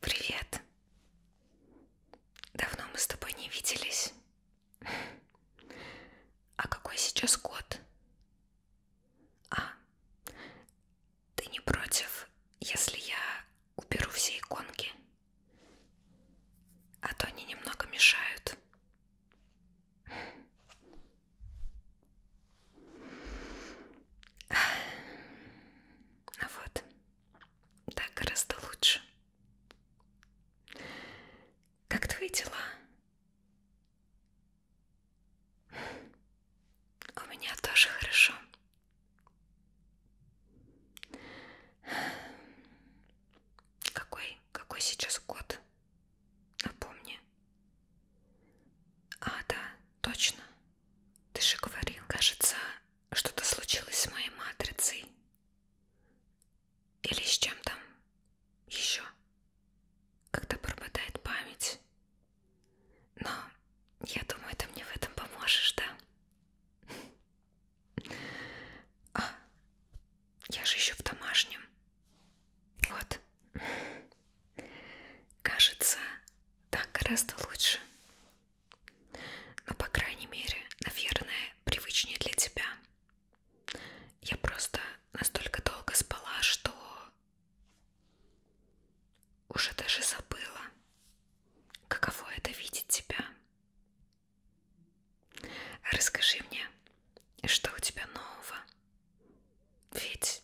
Привет. Давно мы с тобой не виделись. А какой сейчас год? А, ты не против, если я уберу все иконки? А то они немного мешают. Ну вот, да, гораздо лучше. Как твои дела? У меня тоже хорошо. Какой, какой сейчас год? Напомни. А, да, точно. Ты же говорил, кажется, что-то случилось с моей матрицей. Или с чем там еще? Когда пропадает память. Но я думаю, ты мне в этом поможешь, да? А, я же еще в домашнем. Вот. Кажется, так гораздо лучше. Но, по крайней мере, наверное, привычнее для тебя. Я просто настолько долго спала, что уже даже забыла, каково это видеть тебя. Расскажи мне, что у тебя нового? Ведь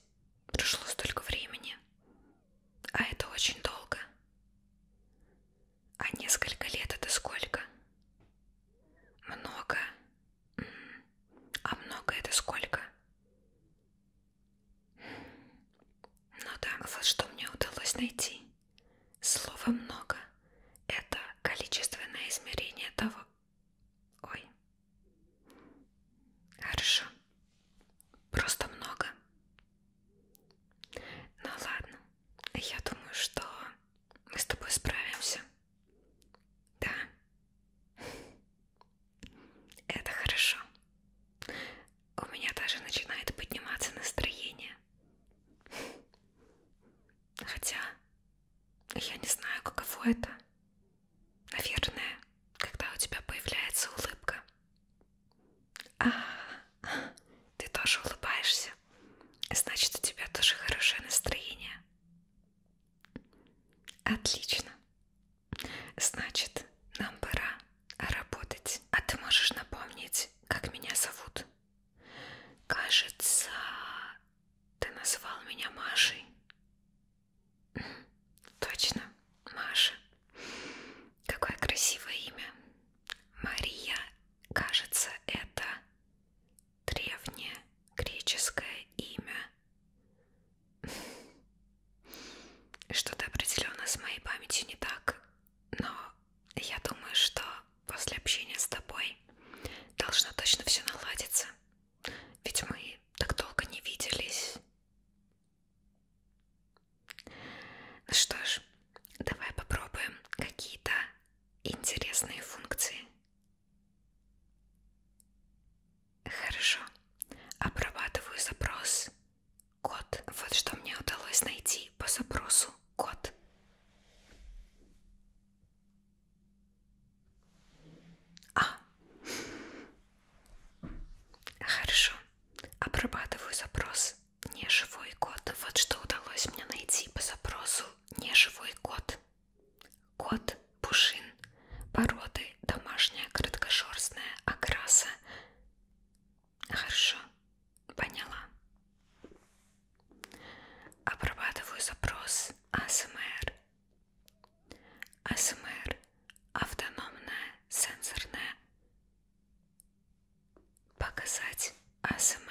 прошло столько времени, а это очень долго. А несколько лет это сколько? Много. А много это сколько? Ну да, вот что мне удалось найти жизней. Слово много — это количественное измерение того... Ой. Хорошо. Просто много. Ну ладно. Я думаю, что мы с тобой справимся. Да. Это хорошо. У меня даже начинает подниматься настроение. Хотя, я не знаю, каково это. Наверное, когда у тебя появляется улыбка. А, ты тоже улыбаешься. Значит, у тебя тоже хорошее настроение. Отлично. Значит, нам пора а работать. А ты можешь напомнить, как меня зовут? Кажется, ты называл меня Машей. Точно, Маша. Какое красивое имя. Мария, кажется, это древнее греческое имя. Что-то определенно с моей памятью не так но я думаю, что после общения с тобой должно точно все наладиться, ведь мы так долго не виделись. Ну что ж, давай попробуем какие-то интересные функции. Хорошо, обрабатываю запрос Кот. Вот что мне удалось найти по запросу кот. А. Хорошо. Обрабатываю запрос неживой кот. Вот что удалось мне найти по запросу неживой кот. Кот пушин породы домашняя краткошерстная окраса Хорошо, поняла. Обрабатываю запрос АСМР. АСМР автономная сенсорная. Показать АСМР.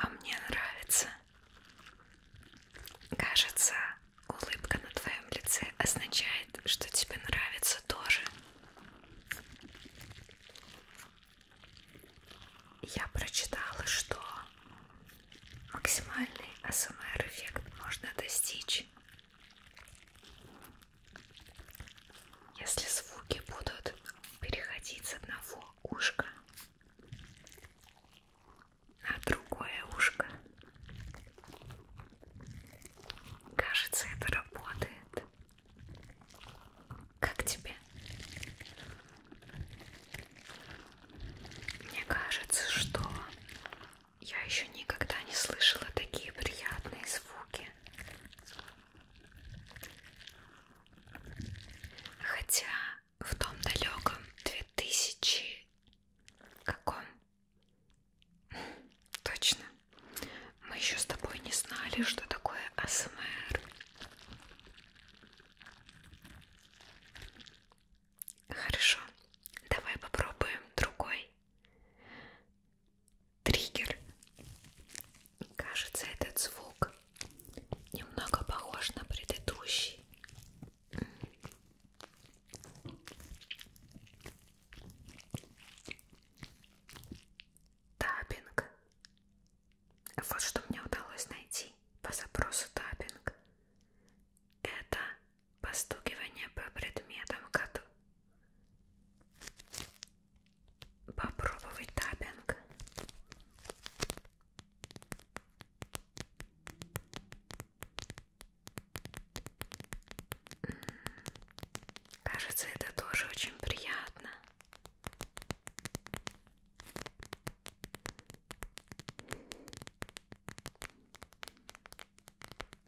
А мне нравится. Кажется, улыбка на твоем лице означает, что тебе нравится тоже. Я прочитала, что максимальный АСМР эффект можно достичь, если звуки будут переходить с одного ушка на другое ушко. Кажется, это работает. Как тебе? Мне кажется, что я еще никогда не слышала такие приятные звуки. Хотя в том далеком 2000 каком Точно. Мы еще с тобой не знали, что такое АСМР. Хорошо. Давай попробуем другой. Триггер. Кажется, этот звук немного похож на предыдущий. Табинг. Вот что мне удалось найти по запросу табинг. Это постукивание по предметам году. Попробовать табинг. Кажется, это тоже очень приятно.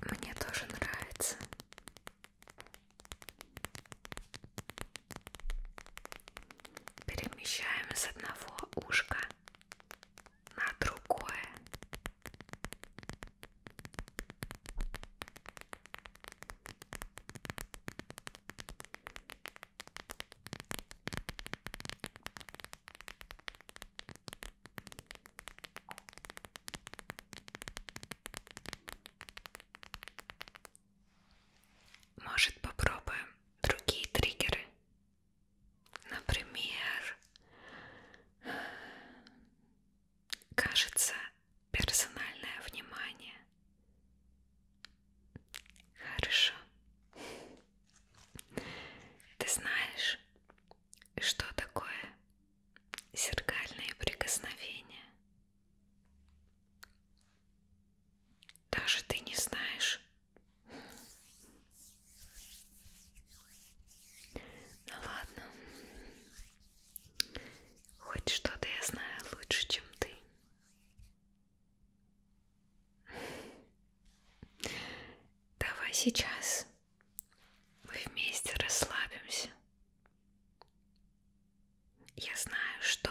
Мне тоже нравится. Перемещаем с одного ушка на другое. Может, попробуем другие триггеры? Например, кажется, персональное внимание. Хорошо. Ты знаешь, что такое зеркальные прикосновения? Даже ты не знаешь, ну ладно. Хоть что-то я знаю лучше, чем ты. Давай сейчас мы вместе расслабимся. Я знаю, что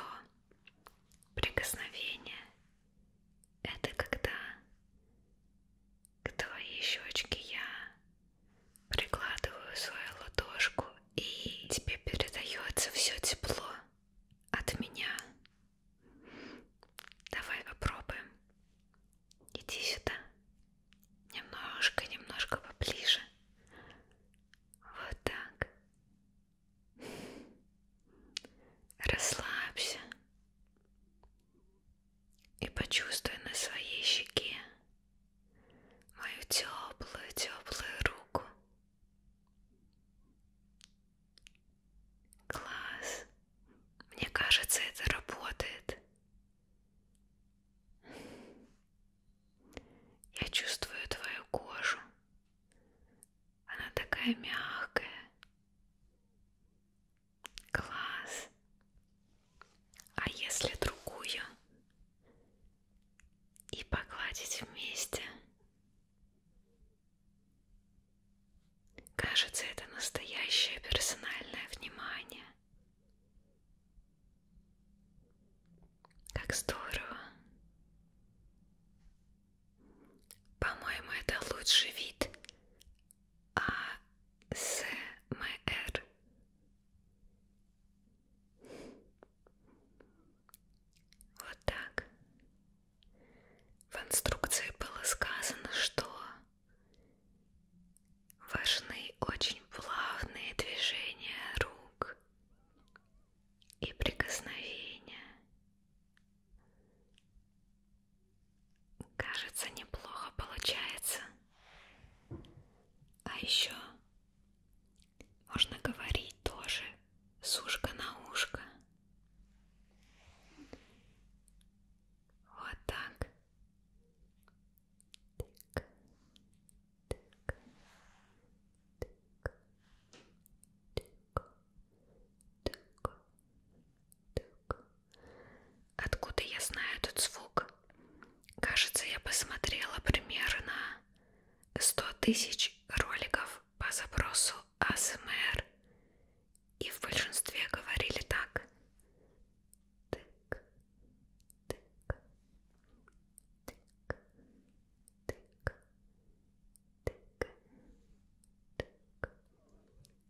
прикосновение это когда к твоей щечке я прикладываю свою ладошку и тебе передается все тепло от меня. Давай попробуем. Иди сюда. Немножко, немножко поближе. Вот так. Расслабься и почувствуй на своей щеке мою теплую-теплую руку. Класс! Мне кажется, это работает. Я чувствую твою кожу. Она такая мягкая. Класс. А если другую и погладить вместе? Кажется, это настоящее персональное внимание. Как здорово. По-моему, это лучший вид АСМР. Вот так. В инструкции было сказано, что важны очень плавные движения рук и прикосновения. Кажется, неплохо получается. А еще можно говорить тоже с ушка на ушко. Вот так. так, так, так, так так, так. Откуда я знаю этот звук? Кажется, я посмотрела примерно 100 тысяч роликов по запросу АСМР. И в большинстве говорили так. Тык, тык, тык, тык, тык, тык,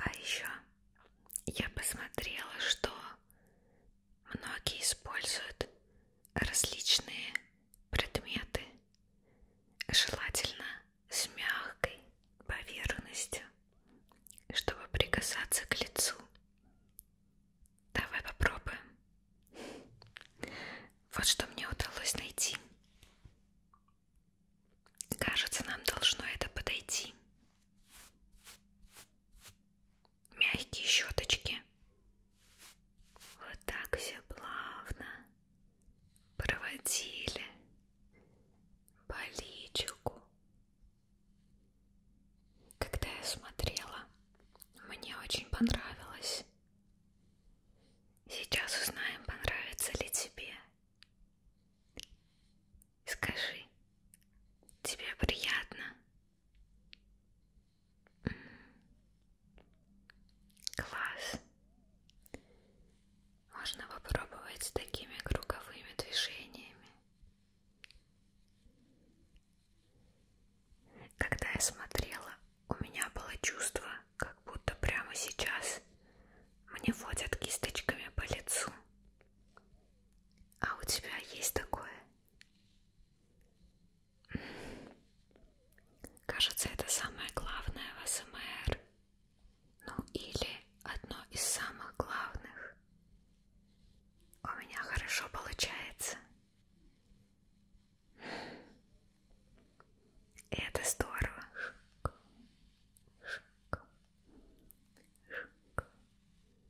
А еще я посмотрела, что Многие используют различные предметы, желательно с мягкой поверхностью, чтобы прикасаться к лицу. Давай попробуем. Вот что мне удалось найти. Кажется, нам должно это подойти мягкие щеточки. Вот так все плавно проводили по личику. Когда я смотрела, мне очень понравилось. Сейчас узнаем, понравится ли тебе. Скажи, тебе приятно? Класс. Можно попробовать с такими круговыми движениями. Когда я смотрела, у меня было чувство, как будто прямо сейчас мне водят кисточками по лицу. А у тебя есть такое? Кажется, это самое главное в АСМР. Ну или одно из самых главных. У меня хорошо получается. И это здорово. Шик, шик, шик,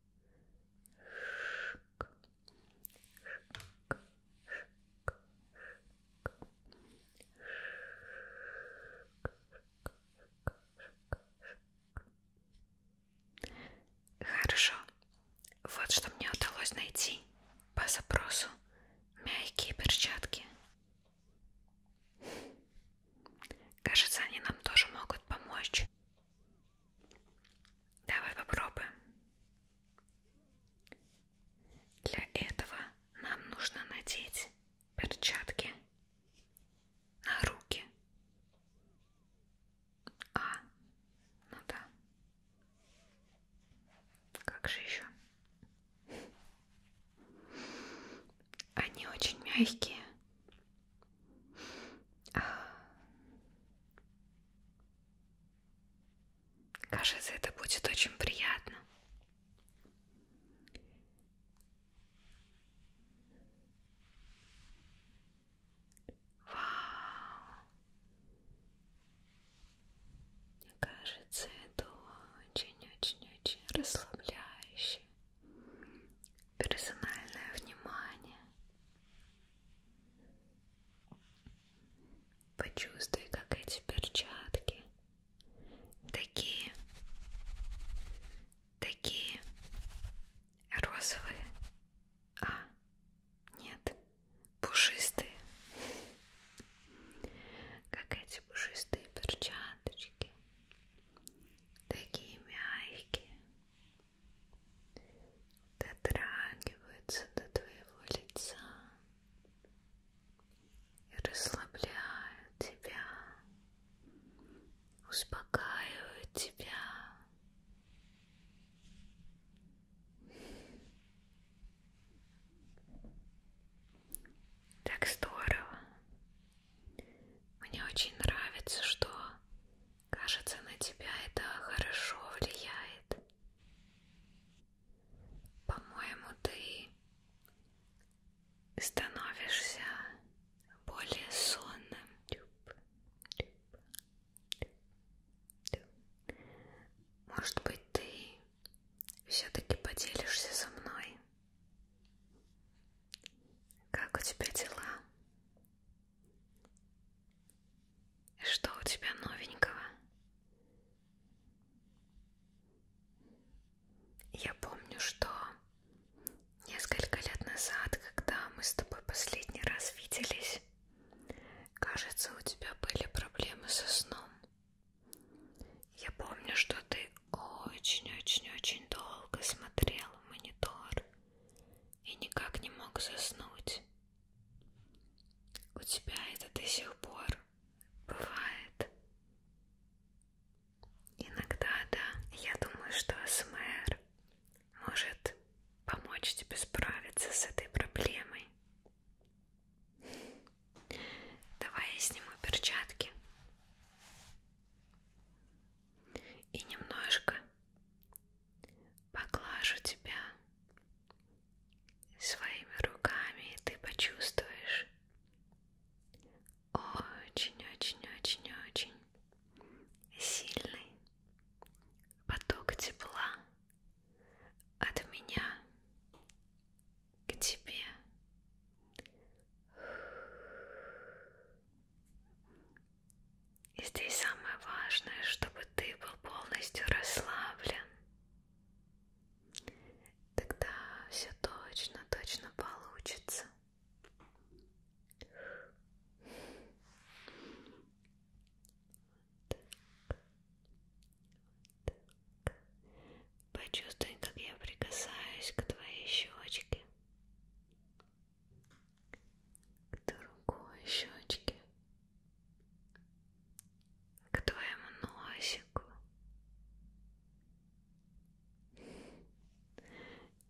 Шик. Шик. Шик. Хорошо. Вот что мне удалось найти по запросу. Мягкие перчатки. Кажется, они нам тоже могут помочь. Давай попробуем. Для этого нам нужно надеть перчатки на руки. А, ну да. Как же еще? Они очень мягкие а. Кажется, это будет очень приятно. Вау. Мне кажется, это очень-очень-очень расслабляюще персональное внимание. Почувствуй, как эти перчатки такие, такие розовые, а нет, пушистые, как эти пушистые перчаточки, такие мягкие дотрагиваются до твоего лица и расслабляют тебя, успокаивают тебя. Так здорово, мне очень нравится, что, кажется, на тебя это хорошо влияет. По-моему, ты становишься более сонным. Может быть, ты все-таки поделишься со мной? Как у тебя дела? Что у тебя новенького? Я помню, что несколько лет назад, когда мы с тобой последний раз виделись, кажется, у тебя были проблемы со сном. Я помню, что ты очень-очень-очень долго смотрел монитор и никак не мог заснуть. У тебя это до сих пор бывает. Иногда, да, я думаю, что СМР может помочь тебе справиться с этой проблемой. Давай я сниму перчатки и немножко поглажу тебя своими руками, и ты почувствуешь очень-очень-очень-очень сильный поток тепла от меня к тебе. И здесь самое важное, чтобы ты был полностью расслаблен. Тогда все точно, точно получится. Вот так. Вот так. Почувствуй, как я прикасаюсь к твоей щечке к другой щечке, к твоему носику,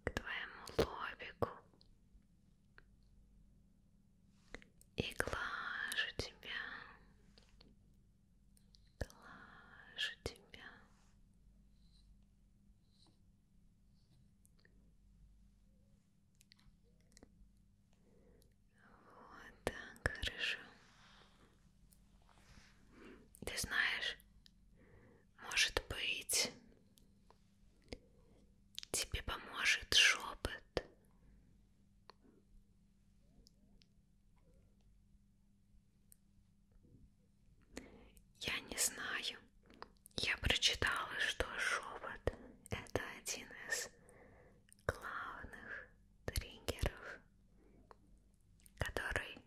к твоему лобику и глажу тебя, глажу тебя. Вот так, хорошо. Ты знаешь, может быть, тебе поможет шепот. Я не знаю. Я прочитала, что шепот – это один из главных триггеров, который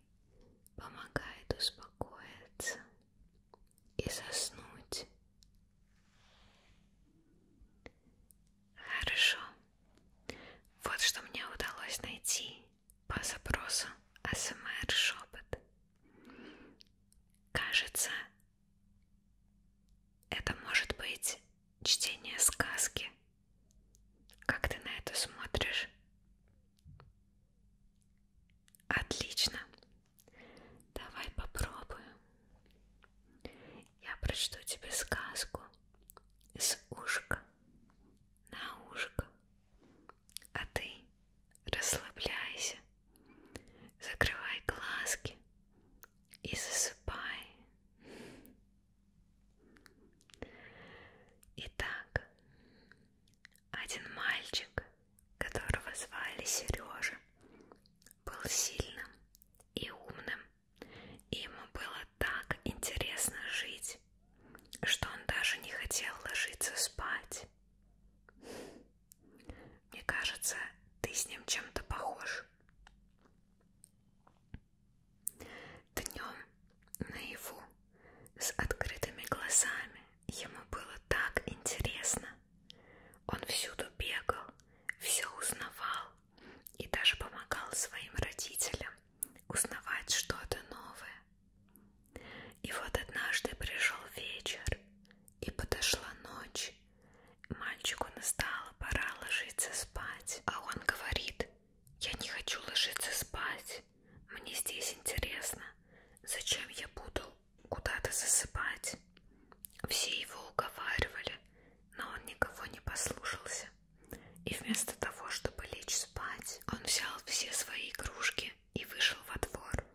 помогает успокоиться и заснуть. Хорошо. Вот что мне удалось найти по запросу АСМР шепот. Кажется, это может быть чтение сказки. Как ты на это смотришь? Отлично. Давай попробуем. Я прочту тебе сказку с ушка на ушко. А ты расслабляйся, закрывай глазки и засыпай. Итак, один мальчик, которого звали Сережа, был сильным и умным, и ему было так интересно жить спать, что он даже не хотел ложиться спать. Мне кажется, ты с ним чем-то похож. Днем наяву с открытыми глазами ему было так интересно. Он всюду бегал, все узнавал и даже помогал своим родителям узнавать что-то новое. И вот однажды пришел вечер, и подошла ночь. Мальчику настала пора ложиться спать, а он говорит, я не хочу ложиться спать, мне здесь интересно, зачем я буду куда-то засыпать. Все его уговаривали, но он никого не послушался. И вместо того, чтобы лечь спать, он взял все свои игрушки и вышел во двор.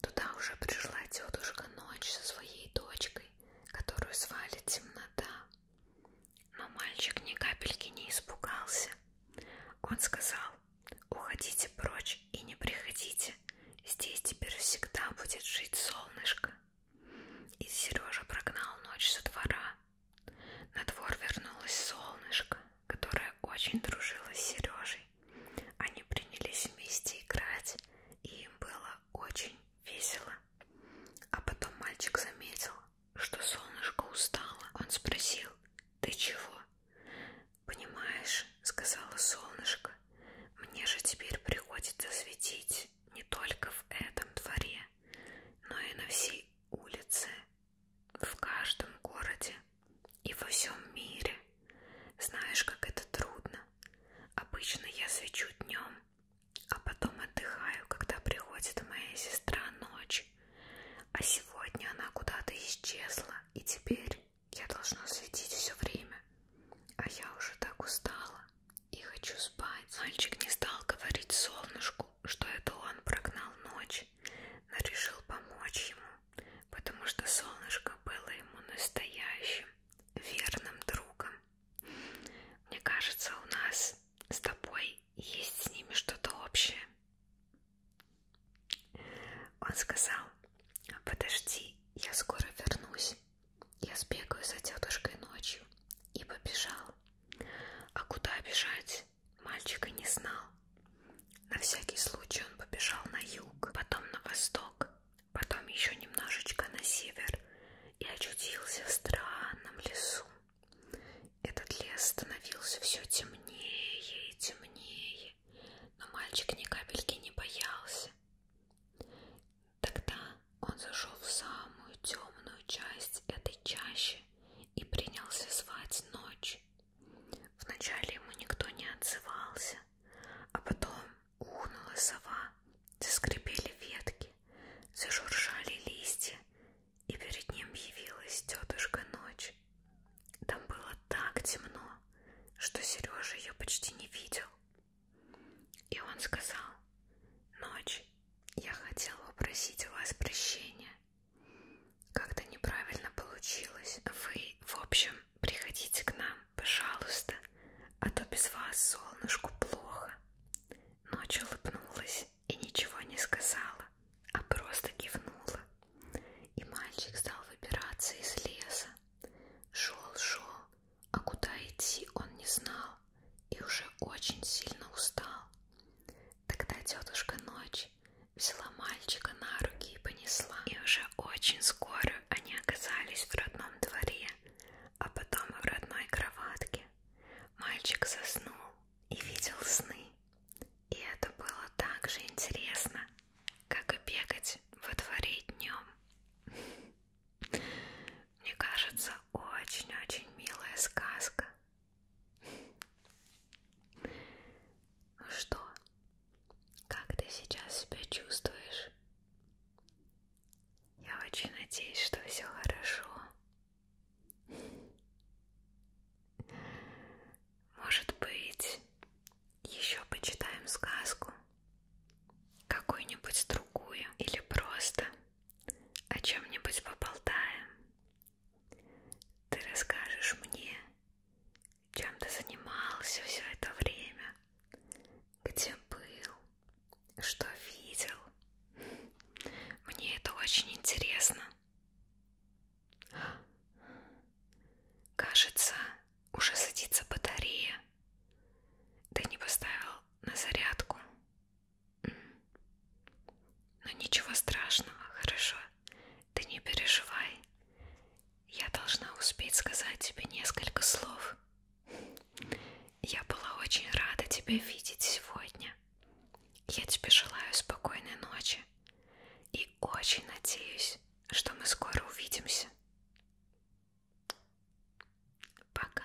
Туда уже пришла тетушка Ночь со своей дочкой, которую звали Темнота. Но мальчик ни капельки не испугался. Он сказал, уходите прочь и не приходите, здесь теперь всегда будет жить солнышко. И Сережа прогнал Ночь со двора на двор вернулось солнышко, которое очень дружило с Сережей. Они принялись вместе играть, и им было очень весело. А потом мальчик заметил, что солнышко устало. Он спросил, ты чего? Понимаешь, сказала солнышко, мне же теперь приходится светить не только в этом дворе, но и на всей улице в каждом городе и во всем мире. Знаешь, как это трудно. Обычно я свечу днем, а потом отдыхаю, когда приходит моя сестра ночь. А сегодня она куда-то исчезла, и теперь я должна светить все время. А я уже так устала и хочу спать. Мальчик не стал говорить солнышку, что это он прогнал ночь, но решил помочь ему, потому что солнышко было ему настоящим, верным другом. Мне кажется, у нас с тобой есть с ними что-то общее. Он сказал, подожди, я скоро вернусь. Я сбегаю за тетушкой ночью и побежал. А куда бежать? мальчика не знал. На всякий случай он побежал на юг, потом на восток, потом еще немножечко на север и очутился в странном лесу. Этот лес становился все темнее и темнее, но мальчик ни капельки не боялся. Тогда он зашел в самую темную часть этой чащи и принялся звать ночь. Вначале ему никто не отзывался, а потом ухнула сова, заскрипели ветки, зажуржали листья, и перед ним явилась тетушка ночь. Там было так темно, что Сережа ее почти не видел. И он сказал, «Ночь, я хотела попросить у вас прощения. Как-то неправильно получилось. Вы, в общем, приходите к нам, пожалуйста. А то без вас солнышку плохо. Ночь улыбнулась и ничего не сказала, а просто кивнула. И мальчик стал выбираться из леса. Шел, шел, а куда идти он не знал и уже очень сильно устал. Тогда тетушка Ночь взяла мальчика на руки и понесла. И уже очень скоро они оказались в родном дворе, а потом и в родной кроватке. Мальчик заснул и видел сны. И это было так же интересно, как и бегать во дворе днем. Мне кажется, очень-очень милая сказка. Ну что, как ты сейчас себя чувствуешь? Я очень надеюсь, что все хорошо. Может быть, еще почитаем сказку? Какую-нибудь другую или просто о чем-нибудь поболтаем. Ты расскажешь мне, чем ты занимался все это время, где был, что видел. Мне это очень интересно. Кажется, уже садится батарея. Ты не поставил на зарядку. Ну ничего страшного, хорошо. Ты не переживай. Я должна успеть сказать тебе несколько слов. Я была очень рада тебя видеть сегодня. Я тебе желаю спокойной ночи и очень надеюсь, что мы скоро увидимся. Пока.